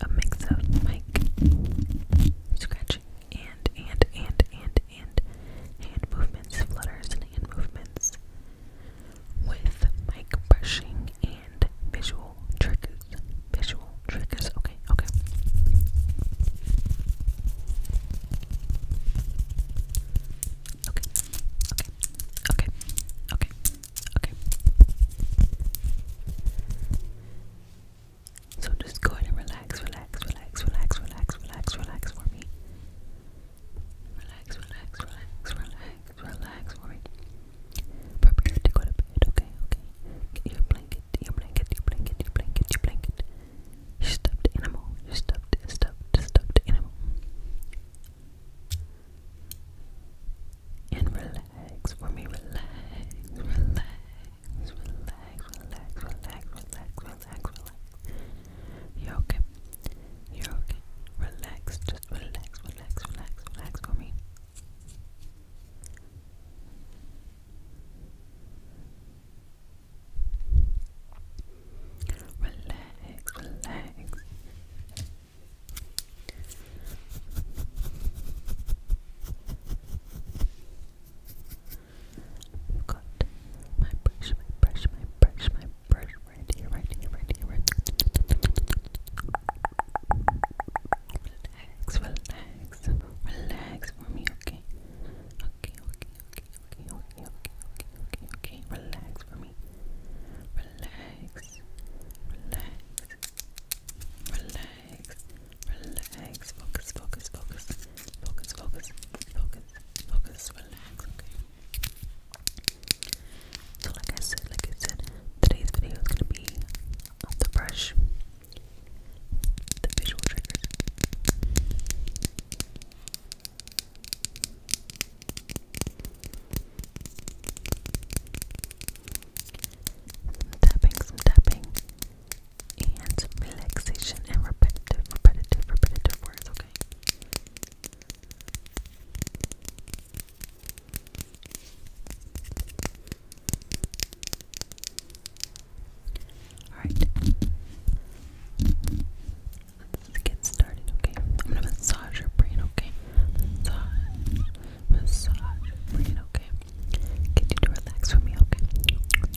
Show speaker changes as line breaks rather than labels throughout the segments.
a mix of like scratching and and and and and hand movements, flutters and hand movements with mic brushing and visual triggers. Visual triggers. Okay, okay. Okay. Okay. Okay. Okay. Okay. So just go ahead and relax, relax, relax, relax, relax, relax, relax for me. Relax, relax, relax, relax, relax for me. Prepare to go to bed, okay, okay. Get your blanket, your blanket, your blanket, your blanket, your blanket. Your stuffed animal, your stuffed, stuffed, stuffed animal and relax for me. Relax, relax, relax, relax, relax, relax, relax, relax. You're okay. You're okay. Relax. Just relax, relax, relax, relax for me. Relax, relax. I've got my brush, my brush, my brush, my brush right here, right here, right here, right here. Relax, relax, relax for me, okay? Okay, okay, okay, okay, okay, okay, okay, okay, okay, relax for me. Relax, relax, relax, relax. Focus, focus, focus, focus, focus, focus, focus. Relax, okay. So, like I said, like I said, today's video is gonna be the brush, the visual triggers. Some tapping, some tapping, and relaxation and repetitive, repetitive, repetitive words, okay? Alright. Let's get started, okay? I'm gonna massage your brain, okay? Massage, massage brain, okay? Get you to relax with me, okay? relax. Relax,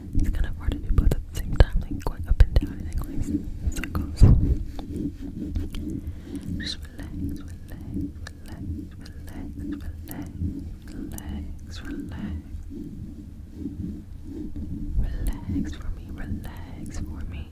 It's kind of hard to do both at the same time, like going up and down and like in circles. Just relax, relax, relax, relax, relax, relax, relax. Relax for me, relax for me.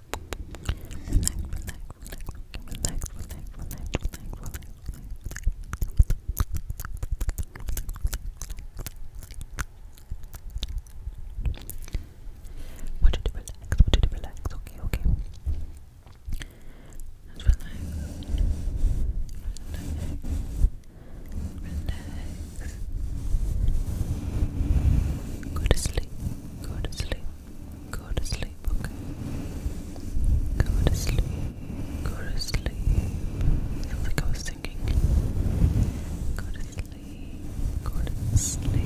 relax, relax, relax, relax, relax, relax, relax. Want you to relax, want you to relax, okay, okay. Let's relax. Relax. Relax. Go to sleep. Go to sleep. Go to sleep. Okay. Go to sleep. Go to sleep. Sounds like I was singing.
Go to sleep. Go to sleep.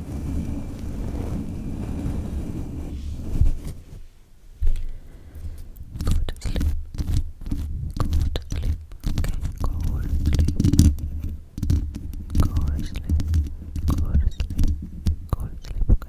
Go to sleep. Go to sleep. Okay, go to sleep. Go to sleep. Go to sleep. Go to sleep. Okay.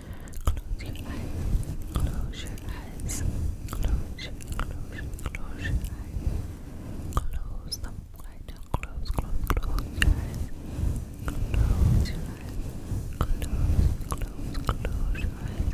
Close
your eyes. Close your eyes. Close your close your, close your eyes. Close them wide. Close, close, close your eyes. Close your eyes. Close, close, close your eyes.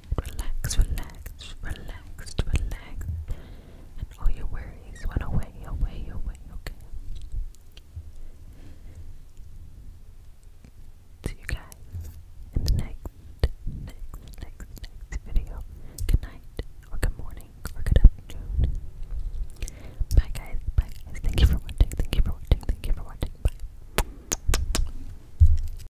Relax, relax, relaxed, relaxed. And all your worries went away, away, away, See you guys in the next, next, next, next video. Good night, or good morning, or good afternoon. Bye, guys. Bye, guys. Thank you for watching. Thank you for watching. Thank you for watching. Bye.